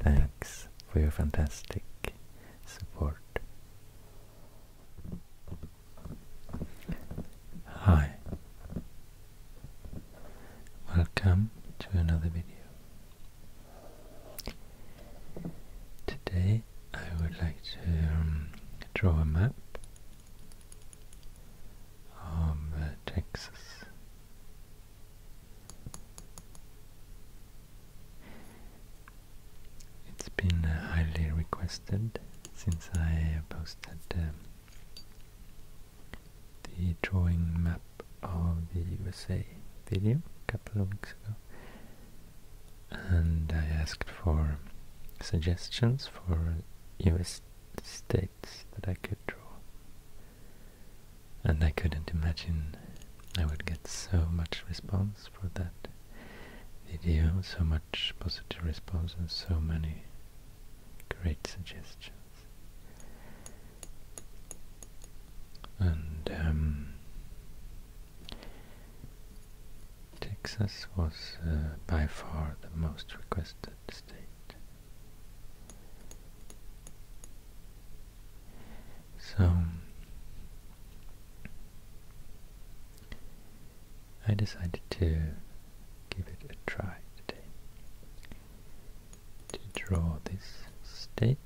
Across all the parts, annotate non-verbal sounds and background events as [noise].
Thanks for your fantastic support. Hi, welcome to another video. Today I would like to um, draw a map of uh, Texas. It's been uh, highly requested since I posted um, the drawing map of the USA video a couple of weeks ago and I asked for suggestions for US states that I could draw and I couldn't imagine I would get so much response for that video, so much positive response and so many Great suggestions. And um, Texas was uh, by far the most requested state. So I decided to give it a try today to draw this state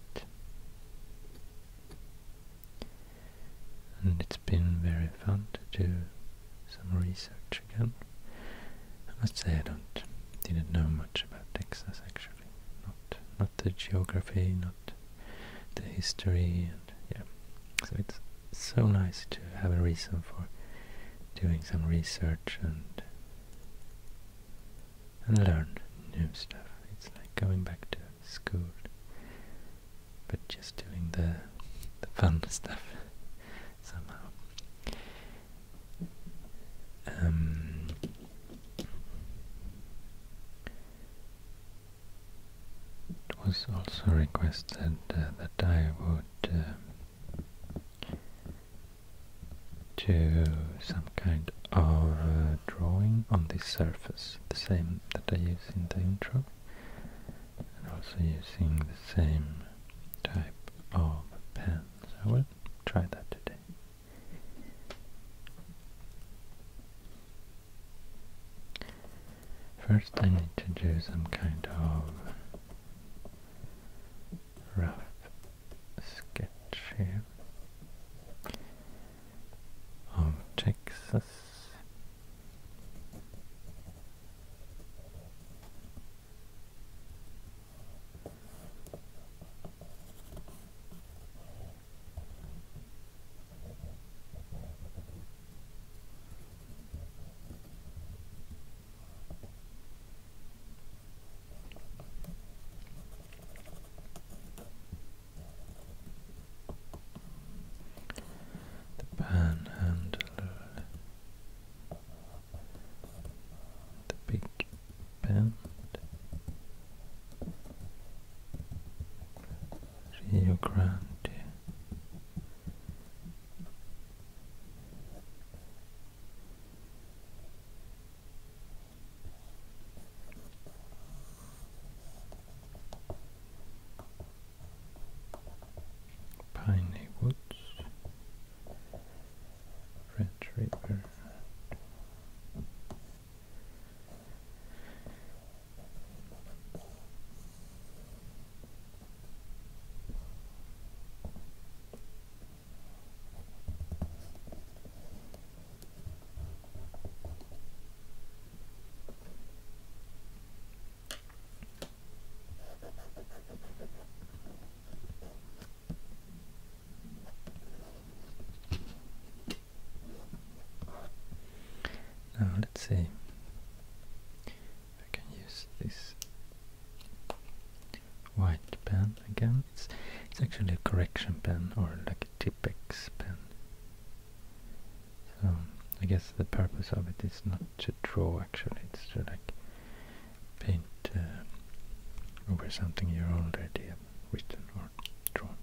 and it's been very fun to do some research again. I must say I don't didn't know much about Texas actually. Not not the geography, not the history and yeah. So it's so nice to have a reason for doing some research and and learn new stuff. It's like going back to school, but just doing the the fun [laughs] stuff somehow. Um, it was also requested uh, that I would. Uh, to some kind of uh, drawing on this surface, the same that I use in the intro, and also using the same type of pen. So I will try that today. First I need to do some kind of rough sketch here of Texas. The panhandle, the big bend, Rio Grande, Piney Woods, Red River. Now let's see I can use this white pen again. It's, it's actually a correction pen or like a Tippex pen. So I guess the purpose of it is not to draw actually, it's to like paint uh, over something you already have written or drawn.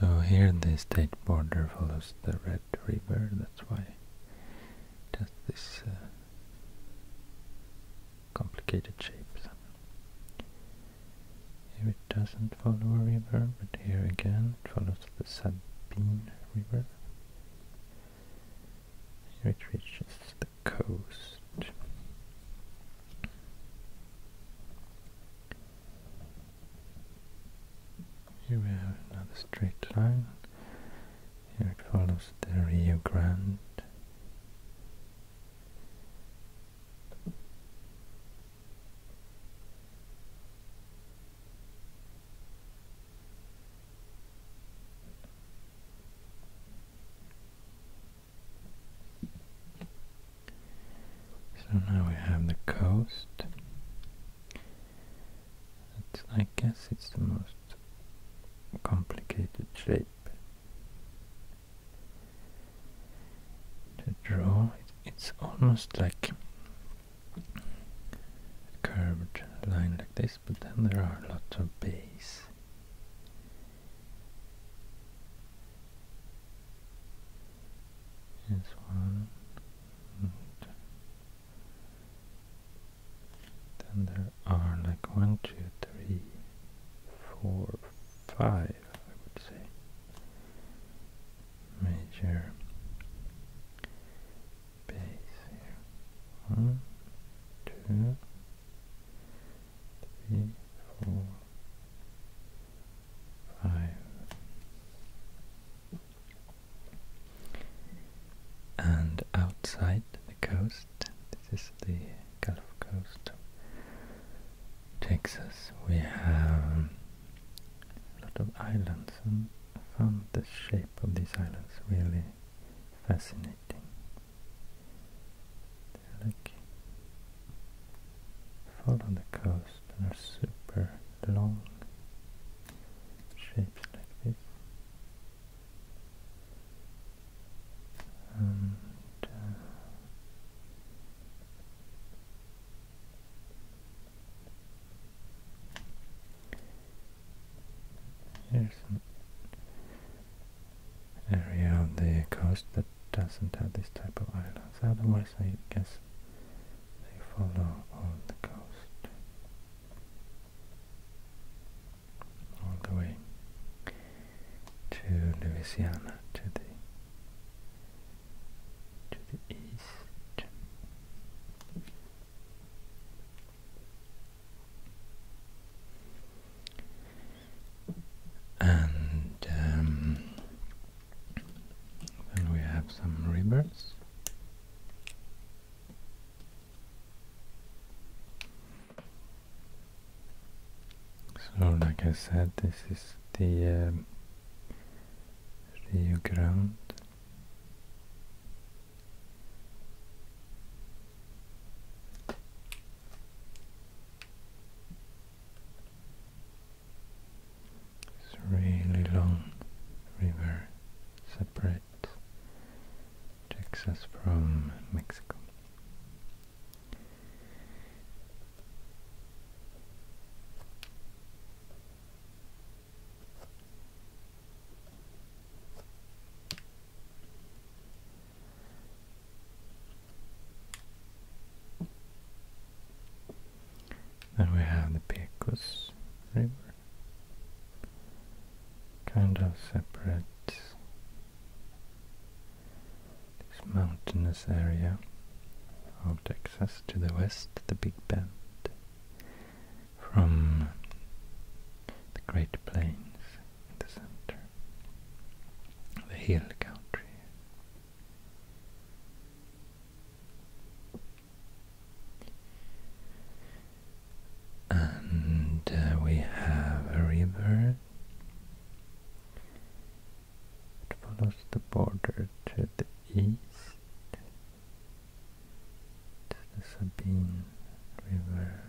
So here the state border follows the Red River, that's why Does this uh, complicated shapes. Here it doesn't follow a river, but here again it follows the Sabine River. Here it reaches the coast. Here we have another straight line here follows the Rio Grande. So now we have the coast I guess it's the most complicated shape to draw. it's almost like a curved line like this, but then there are lots of bays. Here's one, then there are like one, two, three, four, five, I would say, major bass here. One, two, three, four, five. And outside the coast, this is the Gulf Coast of Texas, we have a lot of islands and I found the shape of these islands really fascinating. They're like follow the coast and are super long shapes like this. There's uh, an area of the coast that doesn't have this type of islands, otherwise I guess they follow on the coast all the way to Louisiana to the to the east. And um, then we have some rivers. So, like I said, this is the um, Rio Grande. It's really long river, separated Texas from Mexico. Then we have the Pecos River kind of separates this mountainous area of Texas to the west, the Big Bend, from the Great Plains in the center, the hill country and uh, we have a river that follows the border to the east to the Sabine River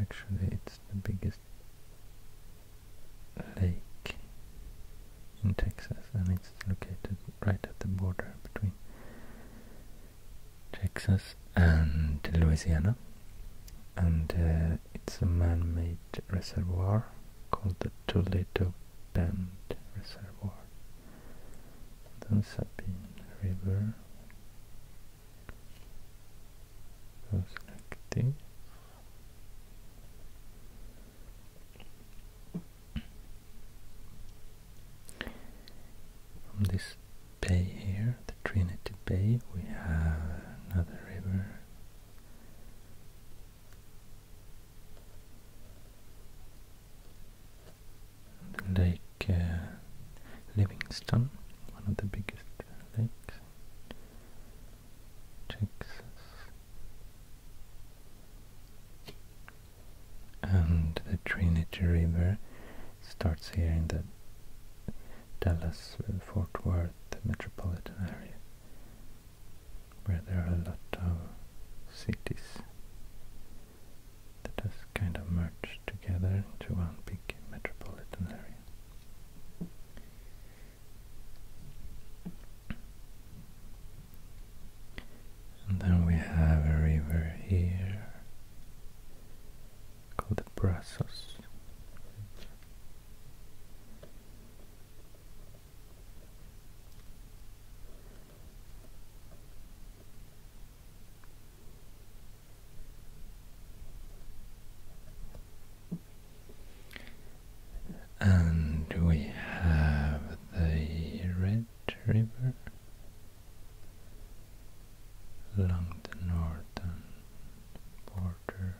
actually it's the biggest lake in Texas and it's located right at the border between Texas and Louisiana and uh, it's a man-made reservoir called the Toledo Bend Reservoir then Sabine River goes like from this bay here, the Trinity Bay, we have another river. The Lake uh, Livingston, one of the biggest lakes. Texas and the Trinity River starts here in the Dallas-Fort uh, Worth metropolitan area, where there are a lot of cities that have kind of merged together into one big metropolitan area. And then we have a river here called the Brazos. And we have the red the River, along the northern border,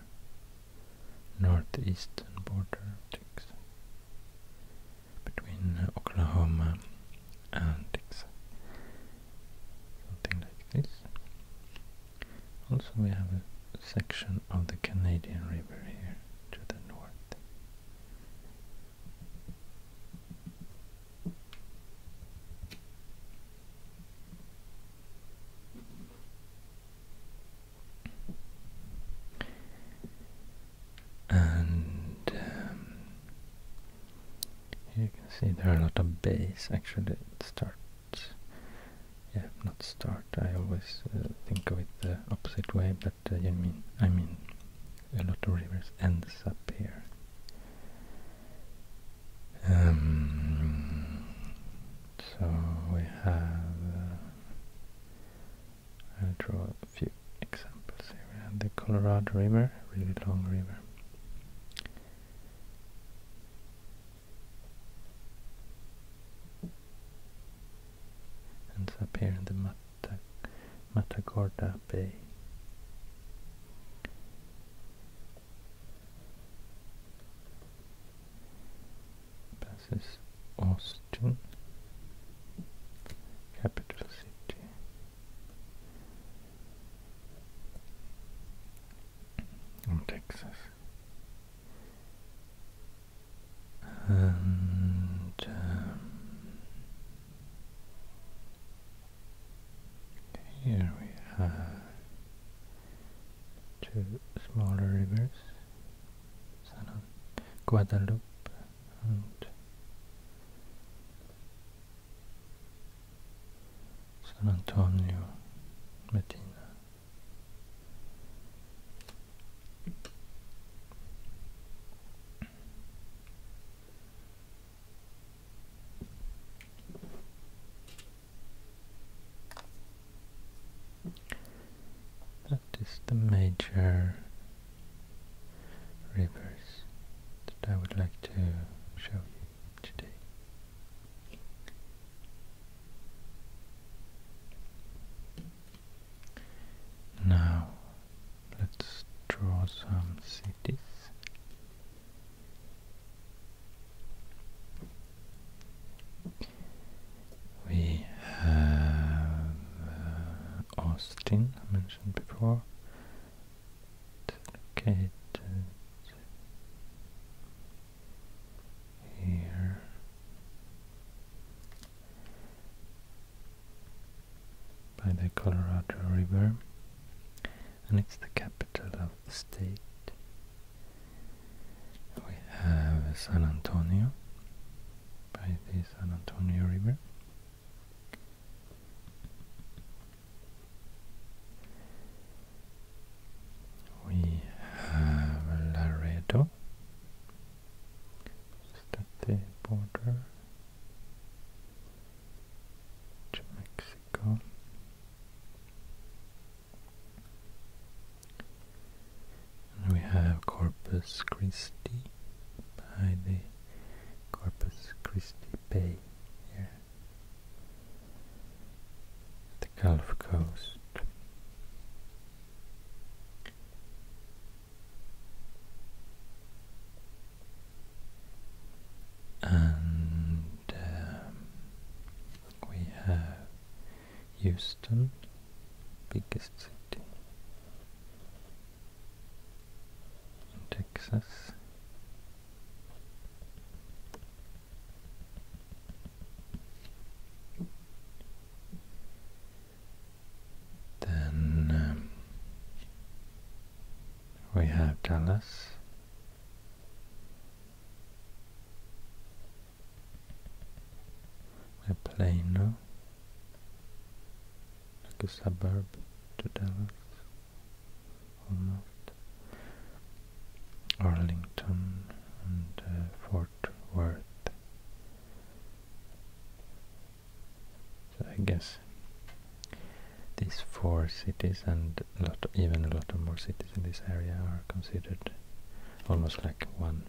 northeastern border between uh, Oklahoma and Texas, something like this. Also, we have a section of the Canadian River here to the north. And um, you can see there are a lot of bays actually. start. yeah, not start. I always uh, think of it the opposite way, That uh, you mean I mean a lot of rivers ends up here. Um, so we have, uh, I'll draw a few examples here. We have the Colorado River, really long river. And up here in the map Matagorda Bay. Passes Austin, capital city. In Texas. And um, here we have two smaller rivers, San Guadalupe and San Antonio Medina. That is the major rivers that I would like to show you today. Now Let's draw some cities. We have uh, Austin, I mentioned before. located here by the Colorado River and it's the capital of the state. We have San Antonio by the San Antonio River. We have Laredo, just at the border to Mexico. we have Corpus Christi by the Corpus Christi Bay here, the Gulf Coast and um, we have Houston, biggest city in Texas. Then um, we have Dallas. Plano, like a suburb to Dallas, almost. Arlington and uh, Fort Worth. So I guess these four cities and even a lot of more cities in this area are considered almost like one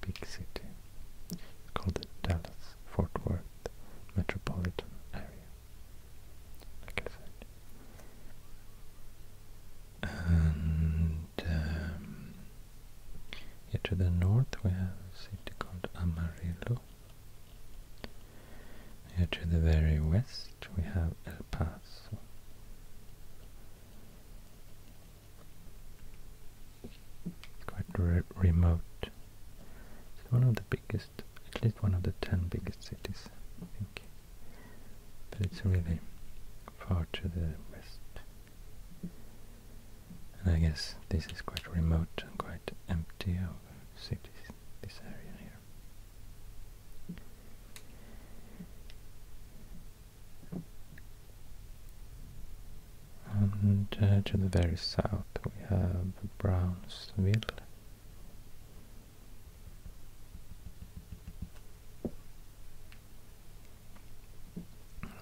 big city. called the Dallas-Fort Worth metropolitan area, And um, here to the north we have a city called Amarillo. Here to the very west we have El Paso. Quite remote. It's one of the biggest, at least one of the ten biggest cities, I think. But it's really far to the west. And I guess this is quite remote and quite empty of cities this area here. And uh, to the very south we have Brownsville.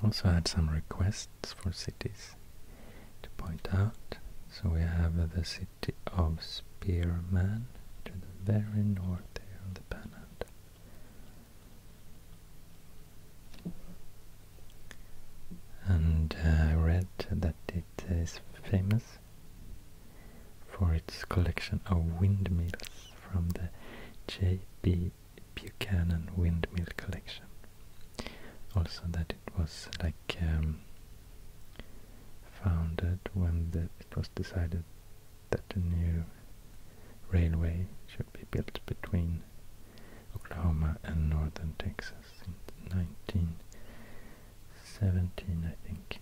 Also had some requests for cities to point out. So we have the city of Spearman to the very north here on the planet, And uh, I read that it is famous for its collection of windmills from the J.B. Buchanan windmill collection. Also that it was like um, founded when it was decided that a new railway should be built between Oklahoma and northern Texas in 1917, I think.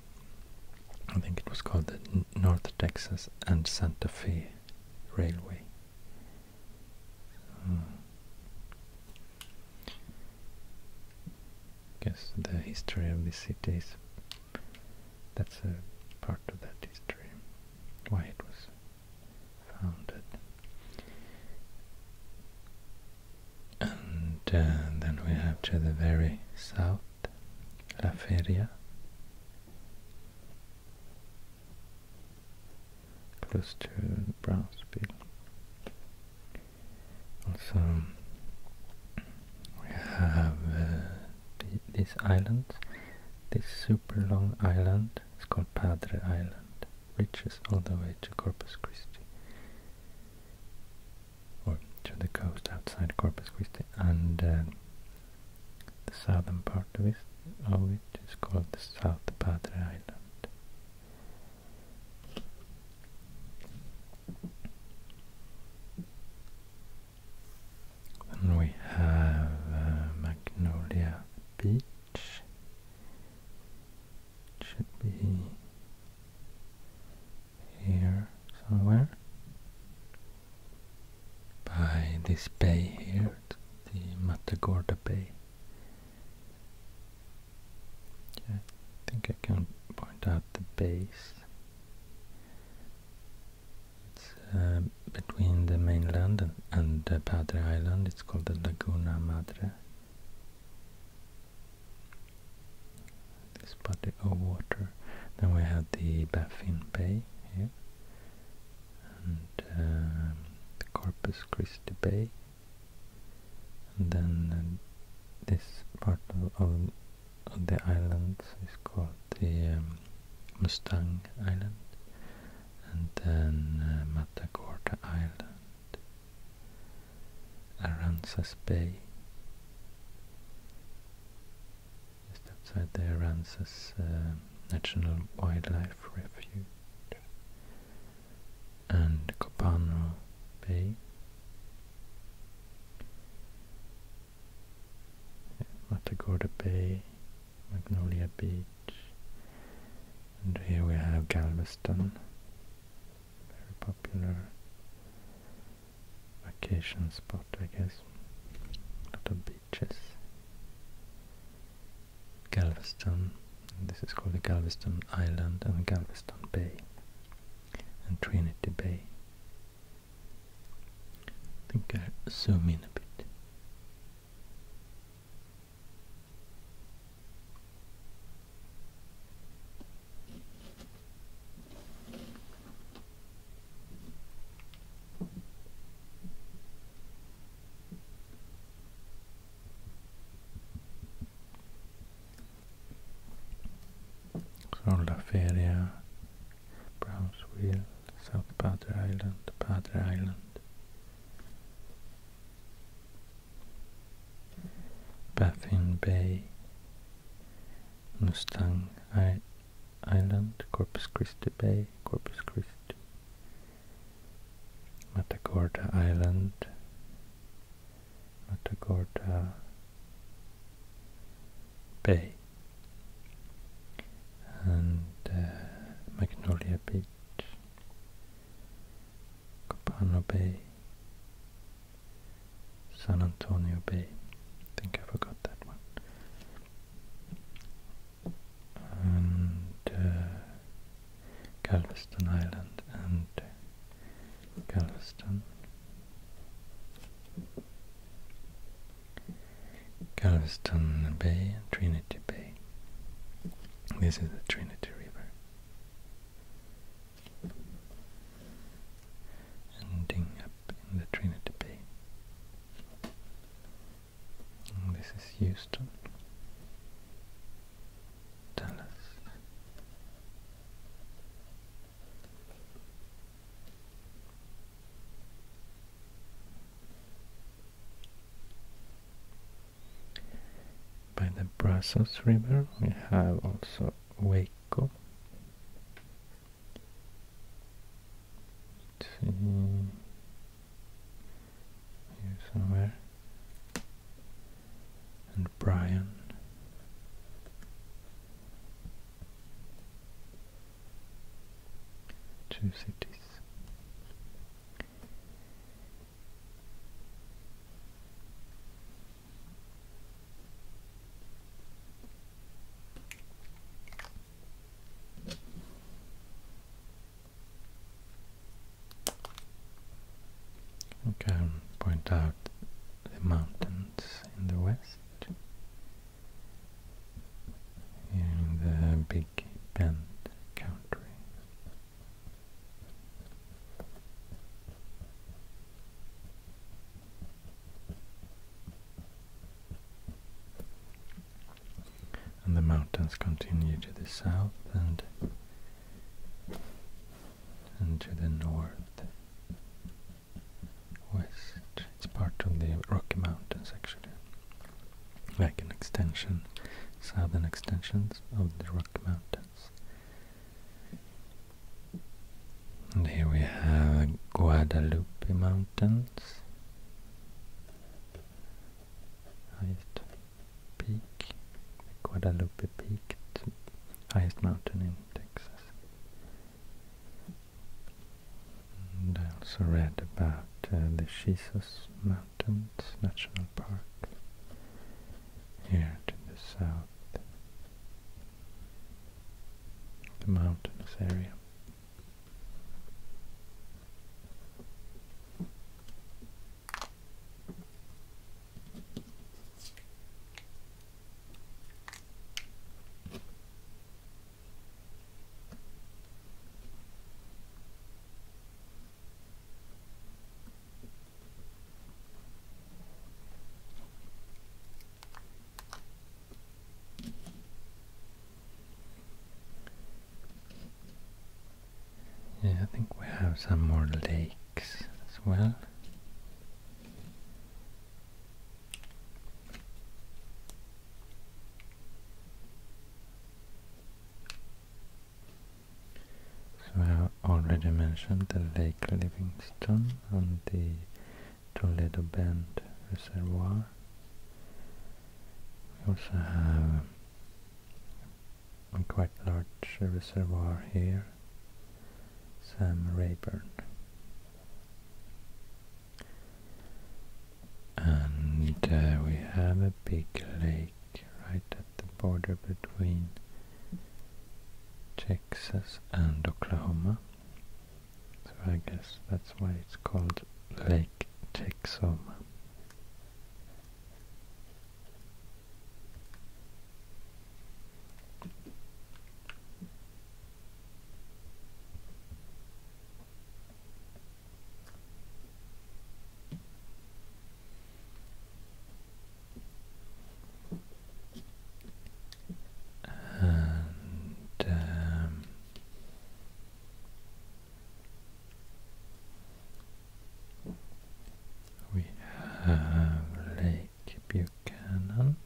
I think it was called the North Texas and Santa Fe Railway. Hmm guess the history of the city is that's a part of that history, why it was founded. And uh, then we have to the very south, La Feria, close to Brownsville. Also, we have uh, this island, This super long island It's called Padre Island, which is all the way to Corpus Christi, or to the coast outside Corpus Christi, and uh, the southern part of it, of it is called the South Padre Island. Then we have uh, Magnolia Beach. It should be here somewhere by this bay here, the Matagorda Bay. I think I can point out the base. It's uh, between the mainland and, and Padre Island. It's called the Laguna Madre. This body of water. Then we have the Baffin Bay here, and um, the Corpus Christi Bay and then uh, this part of, the island is called the um, Mustang Island and then uh, Matagorda Island, Aransas Bay, just outside the Aransas uh, National Wildlife Refuge and Copano Bay. Matagorda Bay, Magnolia Beach, and here we have Galveston, very popular vacation spot I guess, a lot of beaches. Galveston this is called the Galveston Island and Galveston Bay and Trinity Bay. I think I'll zoom in a bit. Soldaferia, Brownsville, South Pater Island, Pater Island, Baffin Bay, Mustang Island, Corpus Christi Bay, Corpus Christi, Matagorda Island, Matagorda Bay and uh, Magnolia Beach, Copano Bay, San Antonio Bay. think I forgot that one. And uh, Galveston Island and Galveston. Galveston Bay and Trinity Bay. This is the Trinity River. Ending up the Trinity Bay. this is Houston. By the Brazos River we have also Waco. here somewhere and Brian. Two cities. We can point out the mountains in the west, in the Big Bend country. And the mountains continue to the south and and to the north west. It's part of the Rocky Mountains actually, like an extension, southern extensions of the Rocky Mountains. And here we have Guadalupe Mountains. Peak, the Guadalupe Peak, highest mountain in Texas. And I also read about uh, the Jesus Mountains National Park here to the south, the mountainous area. Yeah, I think we have some more lake as well. So I already mentioned the Lake Livingston and the Toledo Bend Reservoir. We also have a quite large reservoir here Sam Rayburn. And uh, we have a big lake right at the border between Texas and Oklahoma. So I guess that's why it's called Lake Texoma. And um, we have Lake Take Buchanan.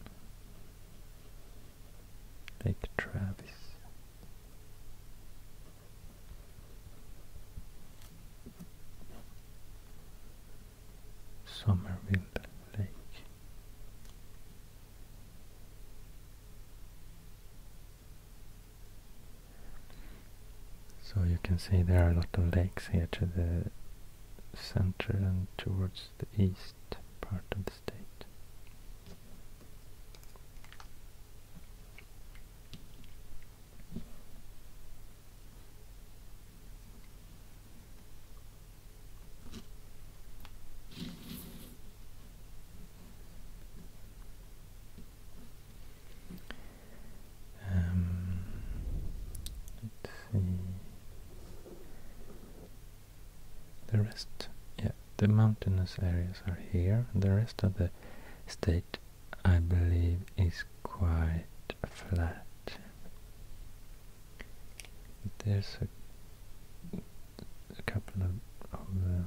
Take Travis. Somerville Lake. So you can see there are a lot of lakes here to the center and towards the east part of the state. Um, let's see. The rest, yeah, the mountainous areas are here. The rest of the state, I believe, is quite flat. There's a, couple of, um,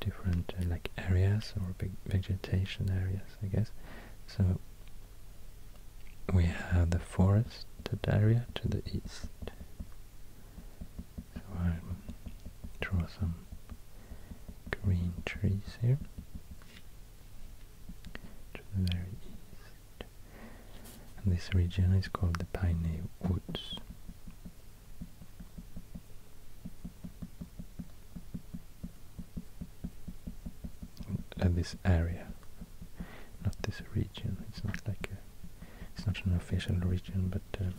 different uh, like areas or big vegetation areas, I guess. So we have the forested area to the east. So I'll draw some green trees here to the very east. this region is called the Piney Woods uh, this area, not this region. It's not like it's not an official region, but uh,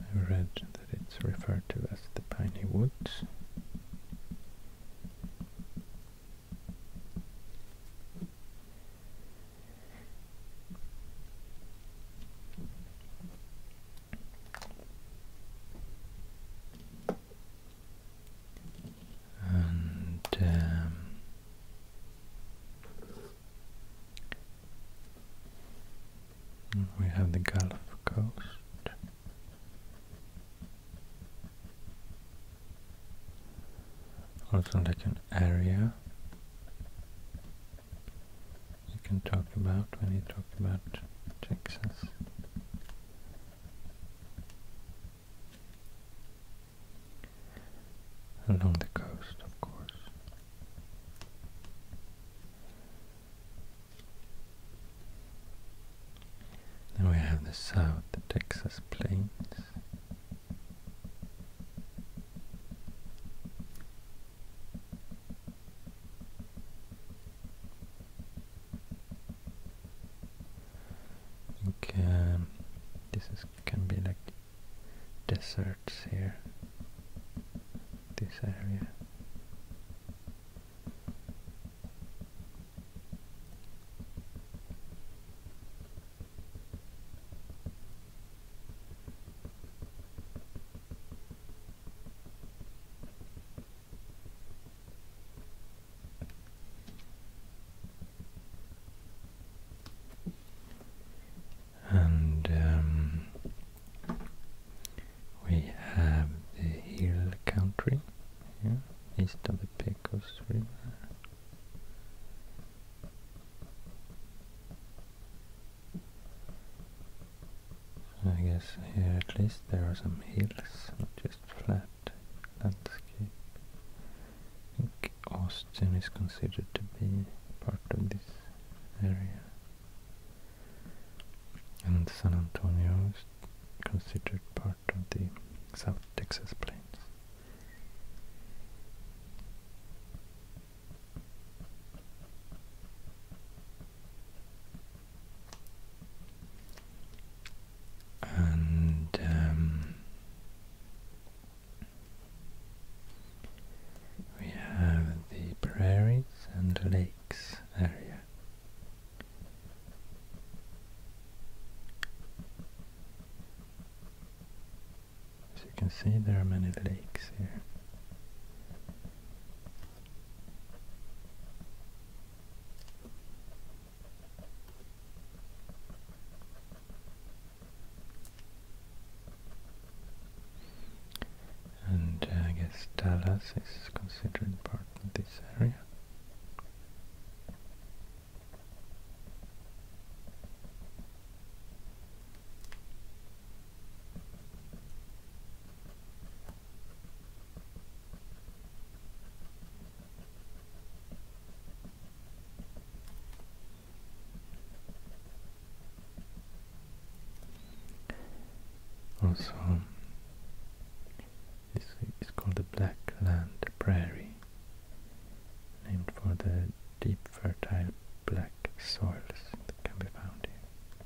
I read that it's referred to as the Piney Woods and um, we have the Gulf Coast also like an area you can talk about when you talk about Texas. Along the coast, of course. Then we have the South the Texas Plains. I this is, can be like deserts here, this area. And um, we have the hill country east of the Pecos River. I guess here at least there are some hills, not just flat landscape. Austin is considered to be part of this area. And San Antonio is considered part of the South Texas Plains and um, we have the prairies and lakes area. As you can see, there are many lakes here. And uh, I guess Dallas is considered part of this area. Also, this is called the Black Land Prairie, named for the deep fertile black soils that can be found here.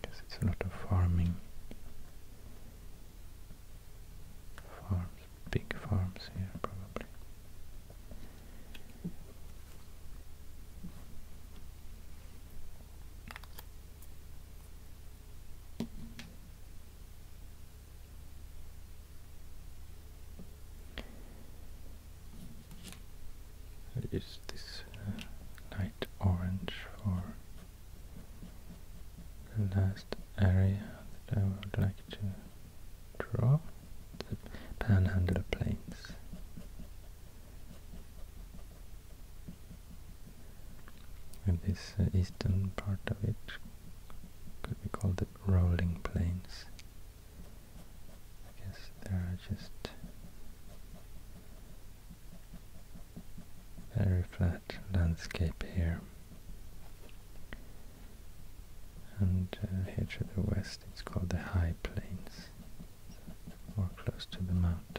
Because it's a lot of farming. Farms, big farms here probably. I'll use this light uh, orange for the last area that I would like to draw, the Panhandle Plains. And this uh, eastern part of it could be called the rolling plains. I guess there are just very flat landscape here. And uh, here to the west it's called the High Plains, more close to the mountains.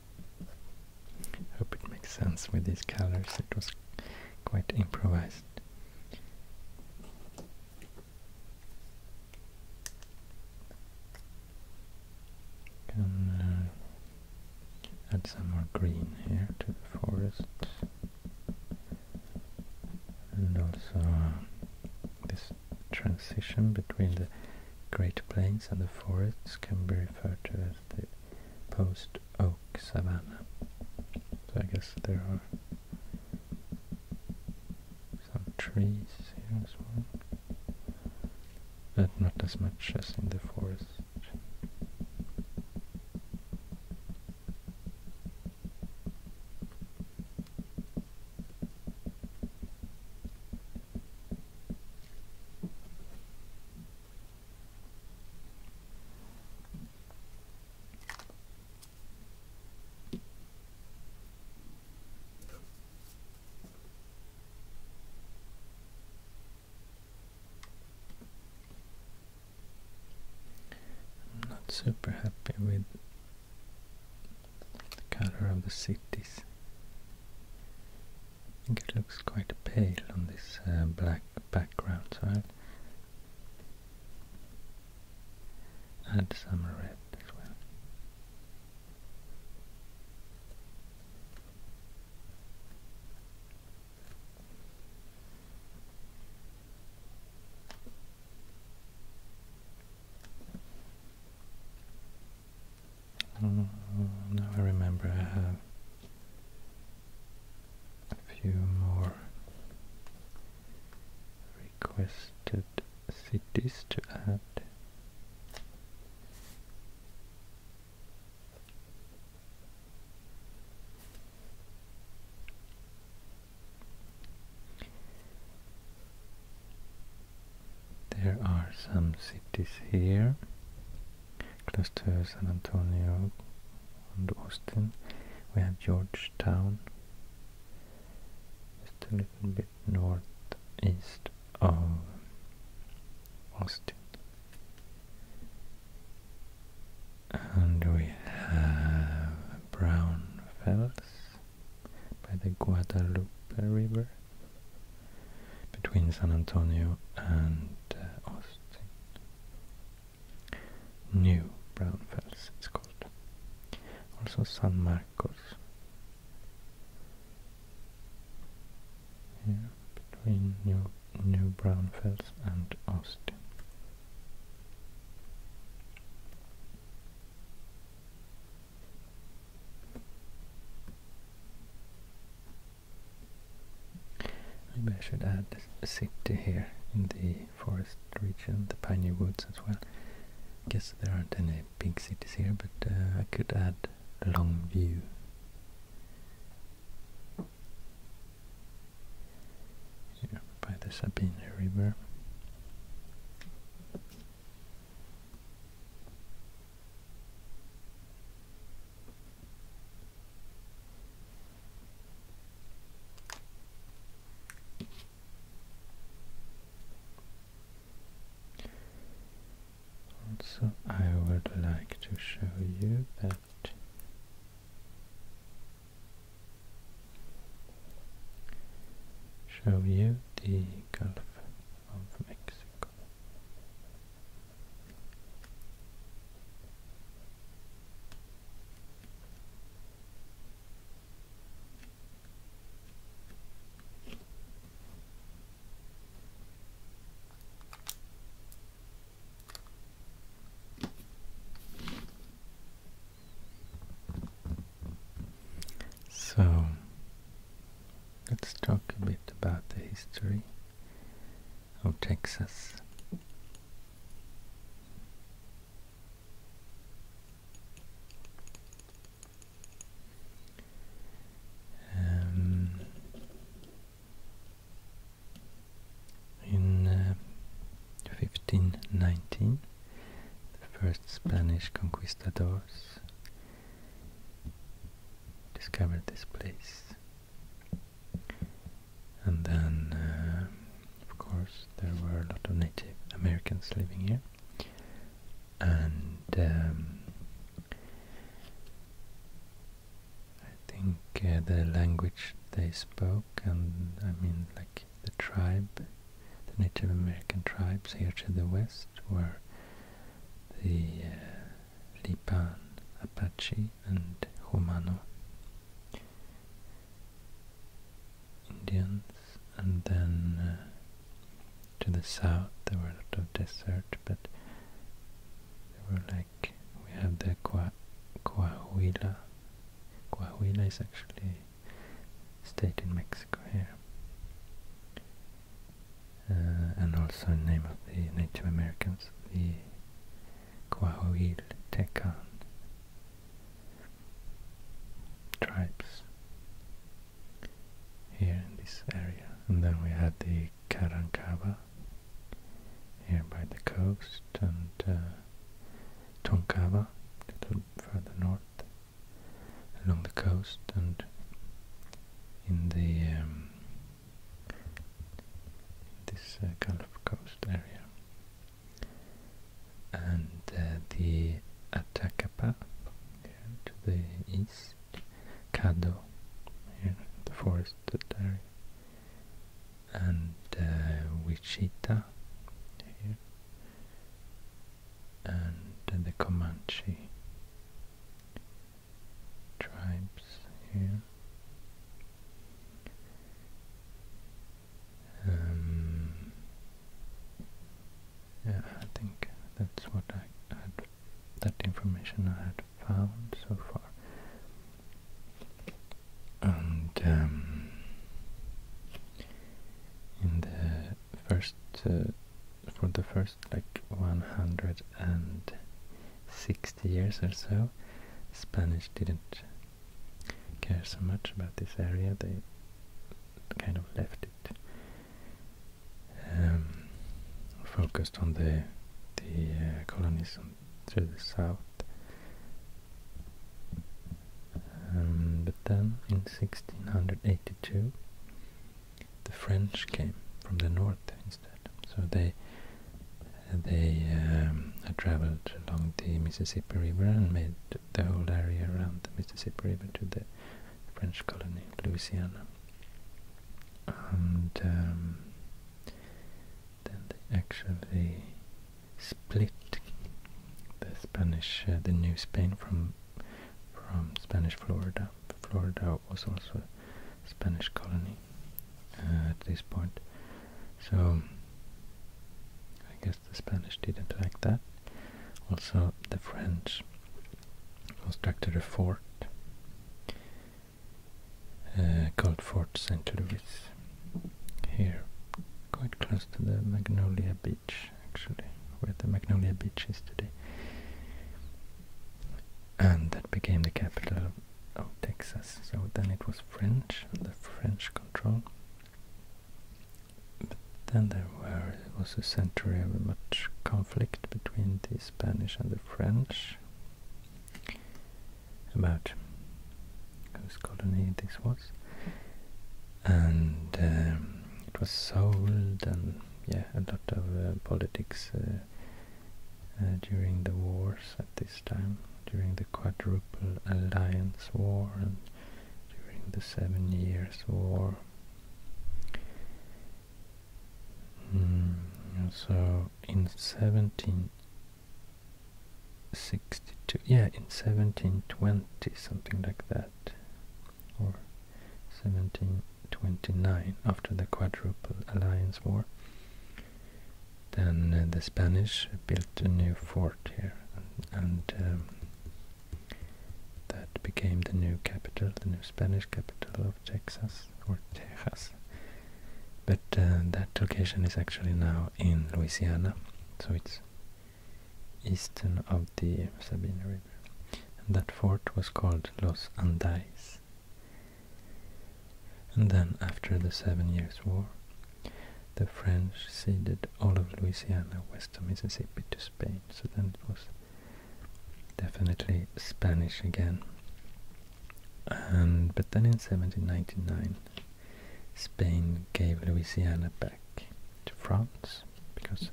Hope it makes sense with these colors. It was quite improvised. Can add some more green here to the forest, and also uh, this transition between the Great Plains and the forests can be referred to as the post-oak savanna. So I guess there are some trees here as well, but not as much as in the forest. I'm not super happy with the color of the cities. I think it looks quite pale on this uh, black background, so I'll add some red as well. Mm, now I remember I have a few more requested cities to add. There are some cities here, close to San Antonio and Austin. We have Georgetown, just a little bit northeast of Austin. And we have Brown Fells by the Guadalupe River between San Antonio and uh, Austin. New Brownfels it's called. Also San Marcos. Here between New New Brownfels and Austin. Maybe I should add a city here in the forest region, the piney woods as well. I guess there aren't any big cities here, but uh, I could add Longview. Here by the Sabine River. Also, I would like to show you that show you the golf of Mexico. So let's talk a bit about the history of Texas. Um, in 1519, uh, the first Spanish conquistadors discovered this place. And then, uh, of course, there were a lot of Native Americans living here. And um, I think uh, the language they spoke, and I mean, like the tribe, the Native American tribes here to the west were the uh, Lipan Apache and Romano Indians, and then uh, to the south there were a lot of desert, but there were like we have the Coahuila. Qua Coahuila is actually a state in Mexico here. Uh, and also in name of the Native Americans, the Coahuil Tekan tribes here in this area. And then we had the Carancaba here by the coast and uh, Tonkaba a further north along the coast and in the um, this uh, Gulf Coast area, and uh, the Atacapa here to the east, Cado here the forested area, and uh, Wichita here, and the Comanche tribes here. Um, yeah, I think that's what I had, that information I had found so far. And um, in the first, uh, for the first like 160 years or so, Spanish didn't care so much about this area. They kind of left it, um, focused on the the uh, colonies on, the south. Um, but then in 1682, the French came from the north instead. So they they um, traveled along the Mississippi River and made the whole area around the Mississippi River to the French colony, Louisiana. And um, then they actually split the Spanish, uh, the New Spain from from Spanish Florida Florida was also a Spanish colony uh, at this point. So I guess the Spanish didn't like that. Also, the French constructed a fort uh, called Fort St. Louis here, quite close to the Magnolia Beach, actually, where the Magnolia Beach is today and that became the capital of, Texas. So then it was French, the French control. then there was a century of much conflict between the Spanish and the French about whose colony this was. And um, it was sold, and yeah, a lot of uh, politics uh, uh, during the wars at this time, during the Quadruple Alliance War and during the Seven Years' War. Mm, so in 1762, yeah, in 1720, something like that, 1729 after the Quadruple Alliance War. Then uh, the Spanish built a new fort here and, um, that became the new capital, the new Spanish capital of Texas or Texas. But uh, that location is actually now in Louisiana, so it's eastern of the Sabine River. And that fort was called Los Andes. And then, after the Seven Years' War, the French ceded all of Louisiana west of Mississippi to Spain, so then it was definitely Spanish again. And But then in 1799, Spain gave Louisiana back to France because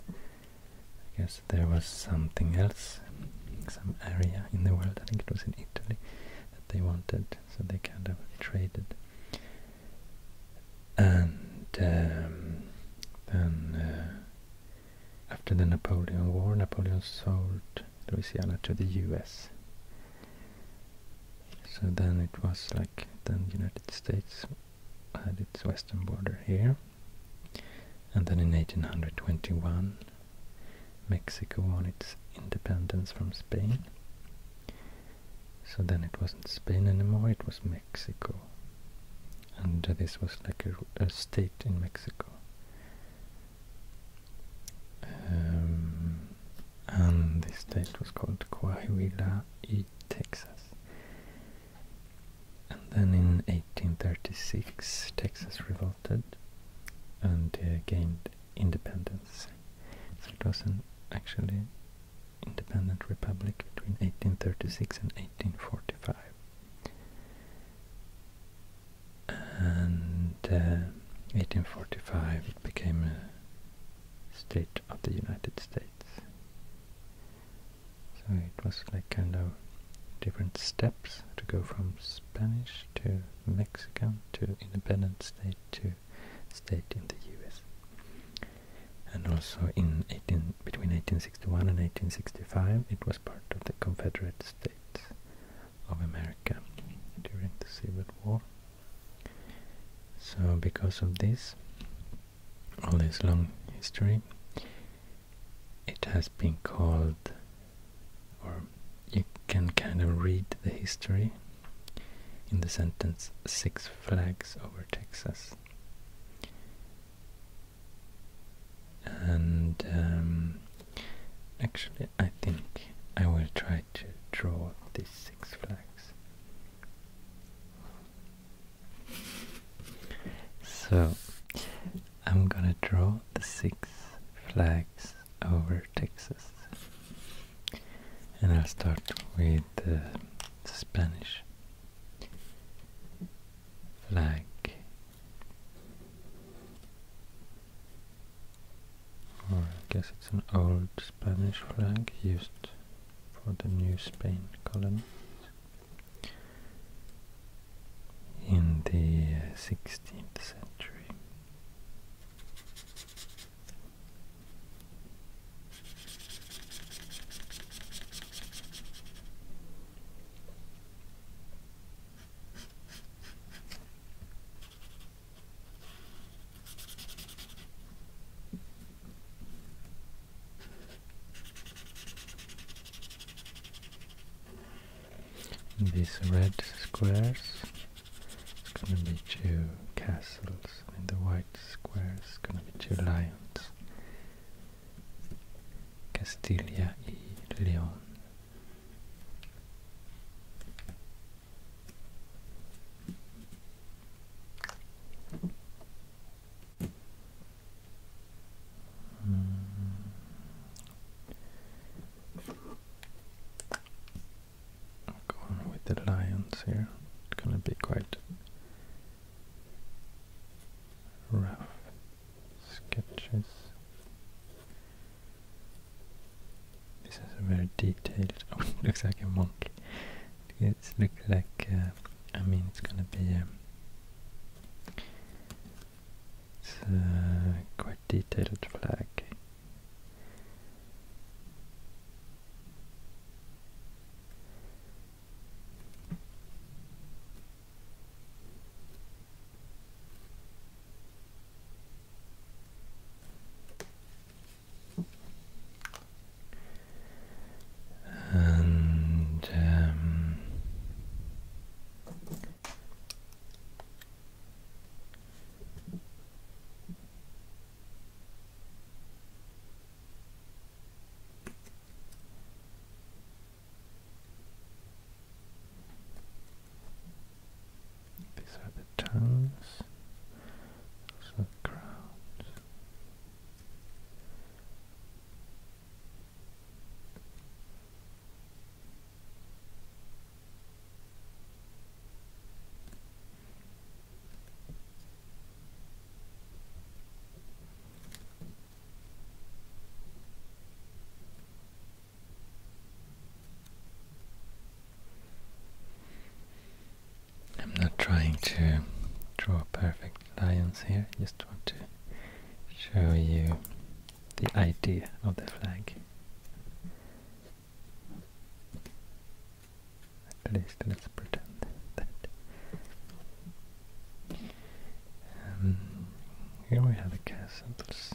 I guess there was something else, some area in the world, I think it was in Italy, that they wanted, so they kind of traded. And um, then uh, after the Napoleon War, Napoleon sold Louisiana to the US. So then it was like, then United States had its western border here and then in 1821, Mexico won its independence from Spain. So then it wasn't Spain anymore, it was Mexico. And this was like a, state in Mexico. Um, and this state was called Coahuila y Texas. And then in 1836 Texas revolted and uh, gained independence. So it was an actually independent republic between 1836 and 1845. And 1845 uh, it became a state of the United States. So it was like kind of different steps to go from Spanish to Mexican to independent state to state in the US. And also in between 1861 and 1865 it was part of the Confederate States of America during the Civil War. So because of this, all this long history, it has been called, or you can kind of read the history in the sentence Six Flags over Texas. And um, actually, I think I will try to draw these Six Flags. So, I'm gonna draw the six flags over Texas. And I'll start with the Spanish flag. Or I guess it's an old Spanish flag used for the New Spain colonies in the 16th uh, century these red squares it's gonna be two castles and the white squares is gonna be two lions Castilla y León Going with the lions here. It's gonna be quite rough sketches. This is a very detailed. [laughs] Oh, looks like a monkey. It looks like. Uh, I mean, it's gonna be. Um, it's a uh, quite detailed flag. And um, these are the tongues, those crowns. I'm not trying to draw perfect lines here, just want to show you the idea of the flag. At least let's pretend that. Um, here we have the castles.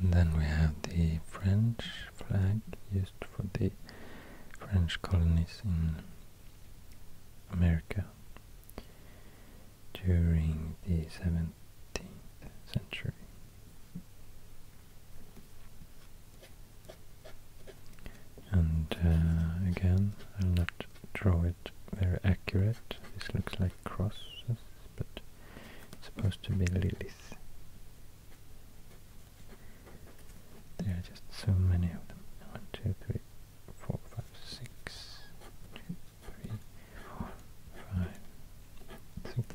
And then we have the French flag used for the French colonies in America during the 17th century. And uh, again, I'll not draw it very accurate. This looks like crosses, but it's supposed to be lilies. There are just so many of them. One, two, three, four, five, six, two, three, four, five, six.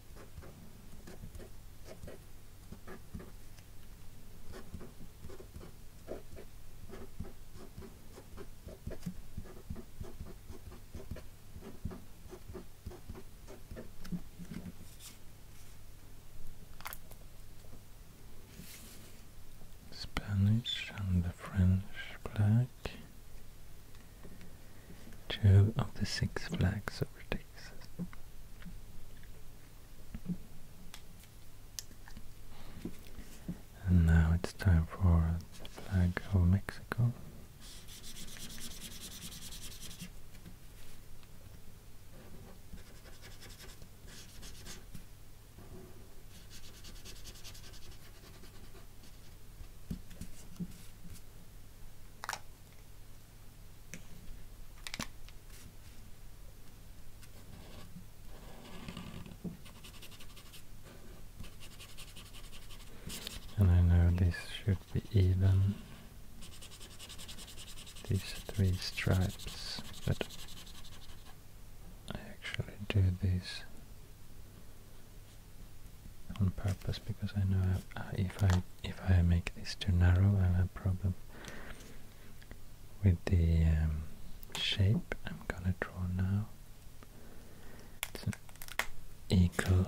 Spanish and the French flag. Two of the six flags over there. And now it's time for the flag of Mexico. And I know this should be even, these three stripes, but I actually do these on purpose because I know if I if I make this too narrow I have a problem with the um, shape I'm gonna draw now. It's an eagle.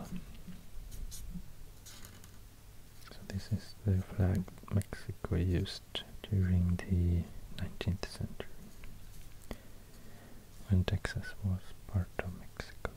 So this is the flag Mexico used during the 19th century when Texas was part of Mexico.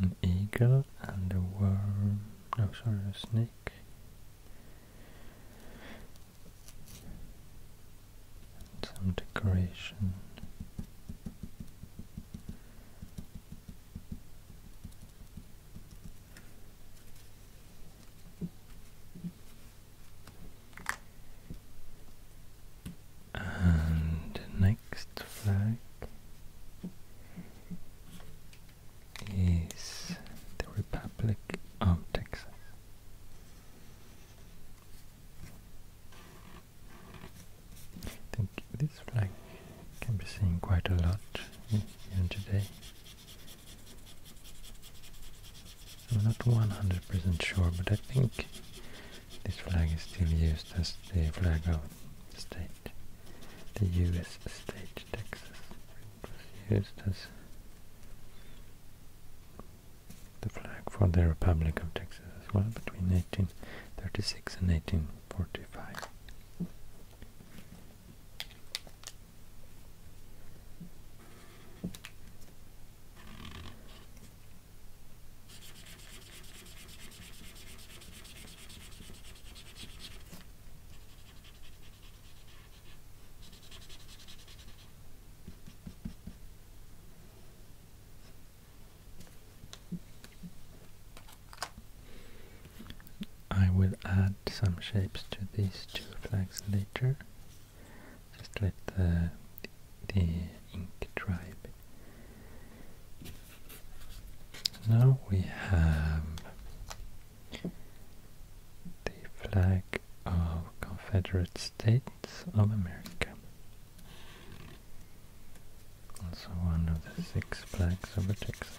An eagle and a worm, Oh, sorry, a snake and some decoration. And next flag is the Republic of Texas. I think this flag can be seen quite a lot even today. I'm not 100% sure, but I think this flag is still used as the flag of the state, the U.S. state Texas. It was used as the flag for the Republic of Texas as well between 1836 and 1845. I will add some shapes to these two flags later. Just let the, the ink dry Now we have the flag of Confederates. States of America. Also one of the six flags over Texas.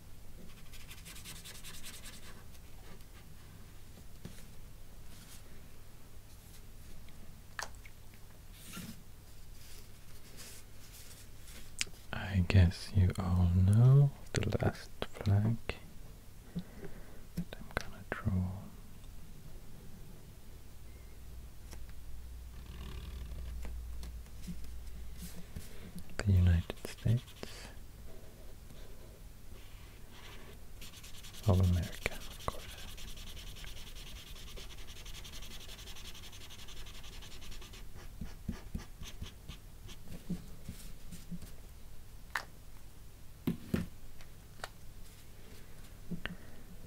I guess you all know the last flag that I'm gonna draw. The United States. Of America, of course.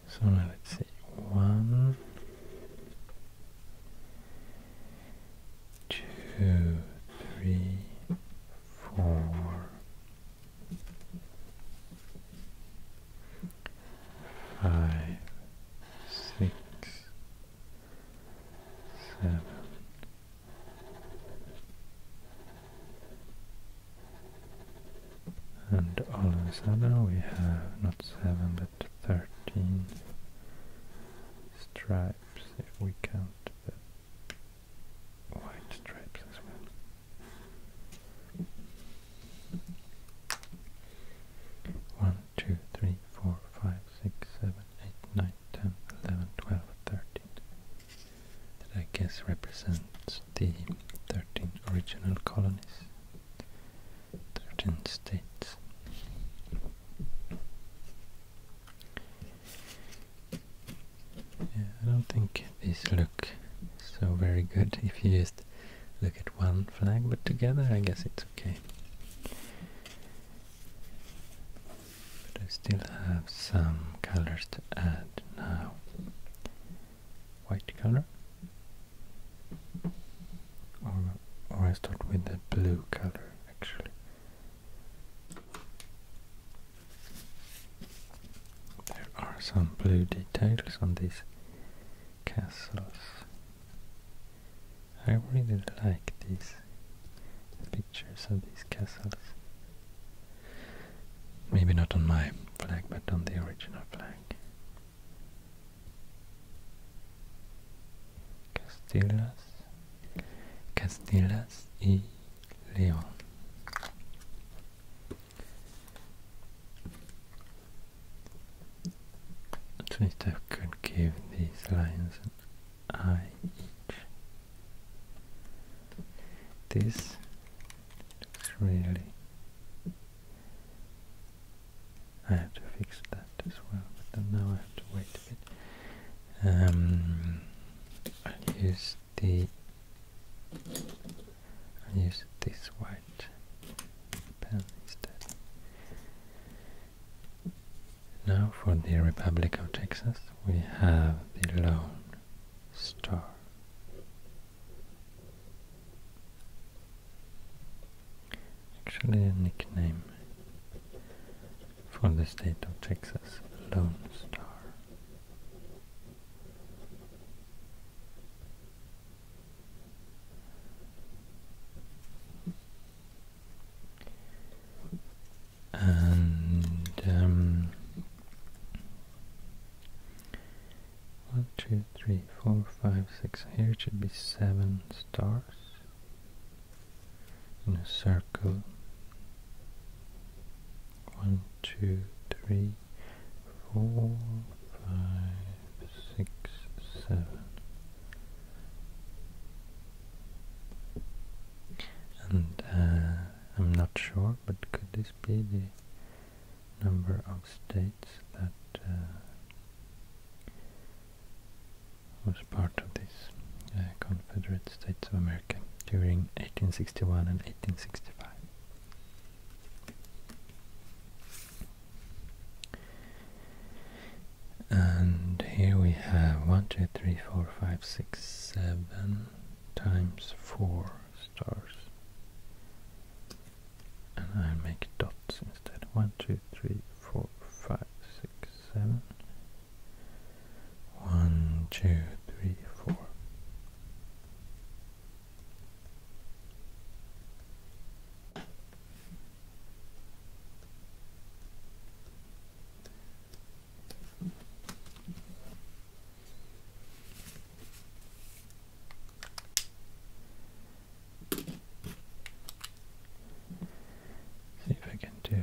So let's see one two, three, four, five, six, seven, and all of a sudden we have not seven but thirteen stripes if we count the white stripes as well. One, two, three, four, five, six, seven, eight, nine, ten, eleven, twelve, thirteen. That I guess represents the thirteen original colonies, thirteen states. Yeah, I don't think these look so very good if you just look at one flag, but together I guess it's okay. But I still have some colors to add now. White color. Or, or I start with the blue color actually. There are some blue details on these castles. I really like these pictures of these castles. Maybe not on my flag, but on the original flag. Castilla Honduras, y León. At least I could give these lines an eye each. This looks really. I have to fix that as well, but now I have to wait a bit. I'll um, use the I'll use this white pen instead. Now for the Republic of Texas we have the lone star. Actually a nickname for the state of Texas Lone Star. And um, one, two, three, four, five, six. Here should be seven stars in a circle. One, two, three, four, five, six, seven. And uh, I'm not sure, but could this be the number of states that uh, was part of this uh, Confederate States of America during 1861 and 1865. And here we have 1, 2, 3, 4, 5, 6, 7 times 4 stars. And I will make dots instead. 1, 2, 3, 4, 5, 6, 7 one, two, three, four. See if I can do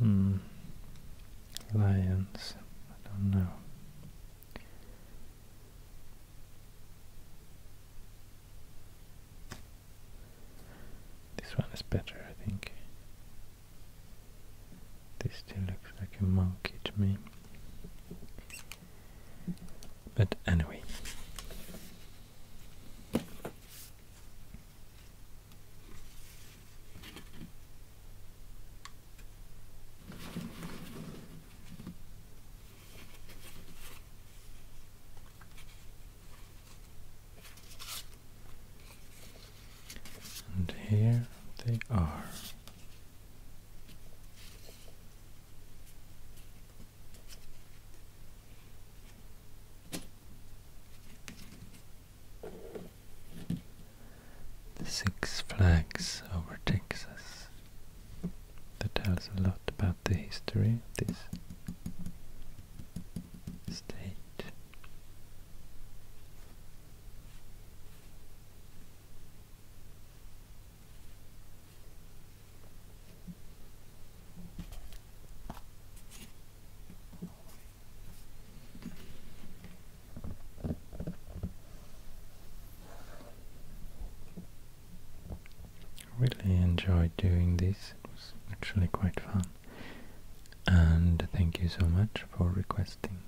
Hmm. Lions. I don't know. This one is better, I think. This still looks like a monkey to me. But anyway. And here they are. The Six Flags over Texas. That tells a lot about the history of this state. Really enjoyed doing this, it was actually quite fun. And thank you so much for requesting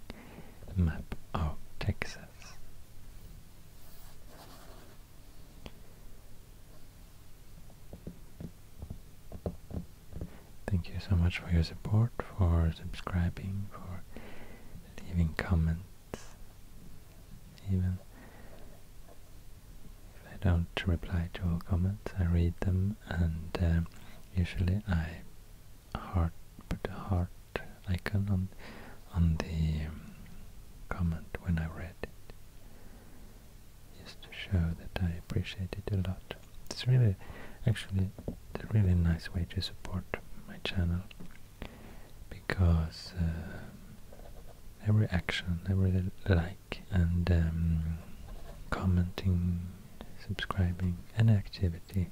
the map of Texas. Thank you so much for your support, for subscribing, for leaving comments, even if I don't reply to all comments, I read them and uh, usually I heart, put a heart icon on on the um, comment when I read it, just to show that I appreciate it a lot. It's really, actually, a really nice way to support my channel because uh, every action, every like, and um, commenting subscribing and activity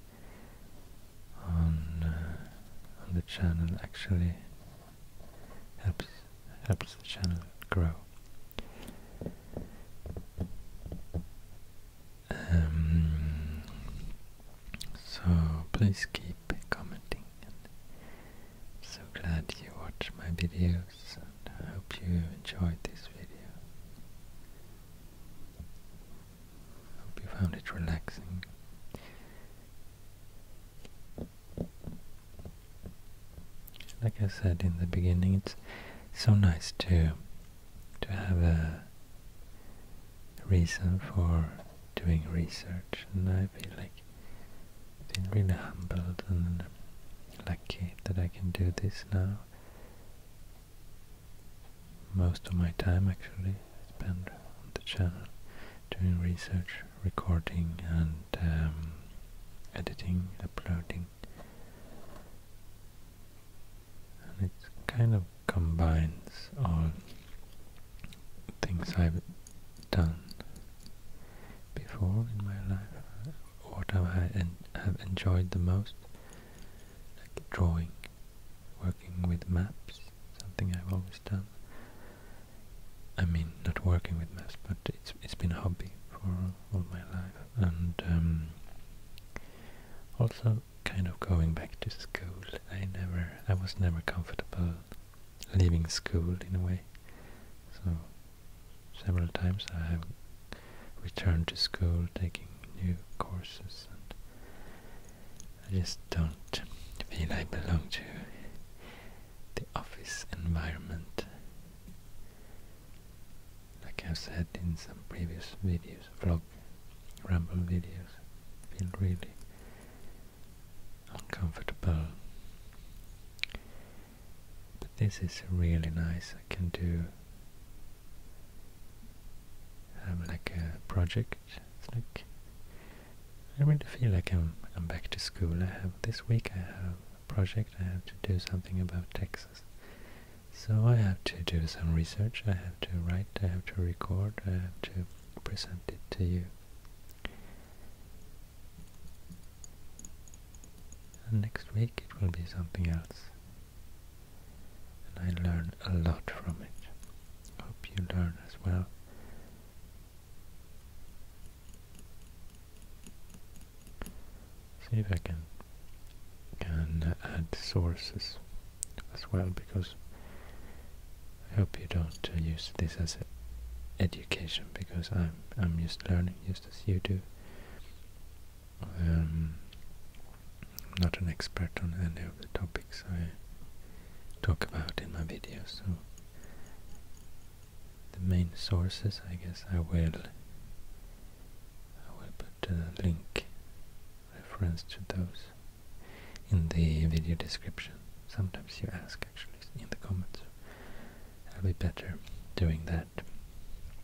on uh, on the channel actually helps helps the channel grow. Um, so please keep commenting. I'm so glad you watch my videos and I hope you enjoyed this video. Hope you found it relaxing. Like I said in the beginning, it's so nice to to have a reason for doing research, and I feel like feel really humbled and lucky that I can do this now most of my time actually spent on the channel doing research, recording and um, editing, uploading. And it kind of combines all things I've done before in my life, what I have enjoyed the most like drawing, working with maps, something I've always done. I mean, not working with maps, but it's it's been a hobby for all my life, and um, also kind of going back to school. I never, I was never comfortable leaving school in a way, so several times I have returned to school, taking new courses, and I just don't feel I belong to the office environment. Like I've said in some previous videos, vlog, ramble videos, feel really uncomfortable. But this is really nice. I can do I um, like a project. It's like I really feel like I'm I'm back to school. I have this week I have a project. I have to do something about Texas. So I have to do some research, I have to write, I have to record, I have to present it to you. next week it will be something else and I learn a lot from it. Hope you learn as well. See if I can can add sources as well because I hope you don't uh, use this as education because I'm I'm just learning just as you do. Um, I'm not an expert on any of the topics I talk about in my videos, so the main sources, I guess I will I will put a link reference to those in the video description. Sometimes you ask actually in the comments. I'll be better doing that.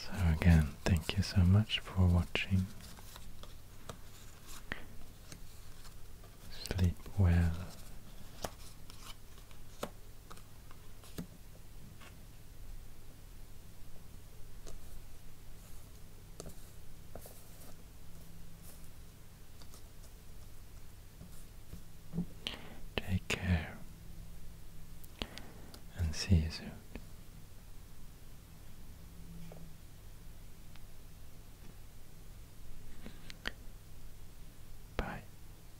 So again, thank you so much for watching. Sleep well. Take care and see you soon. Bye.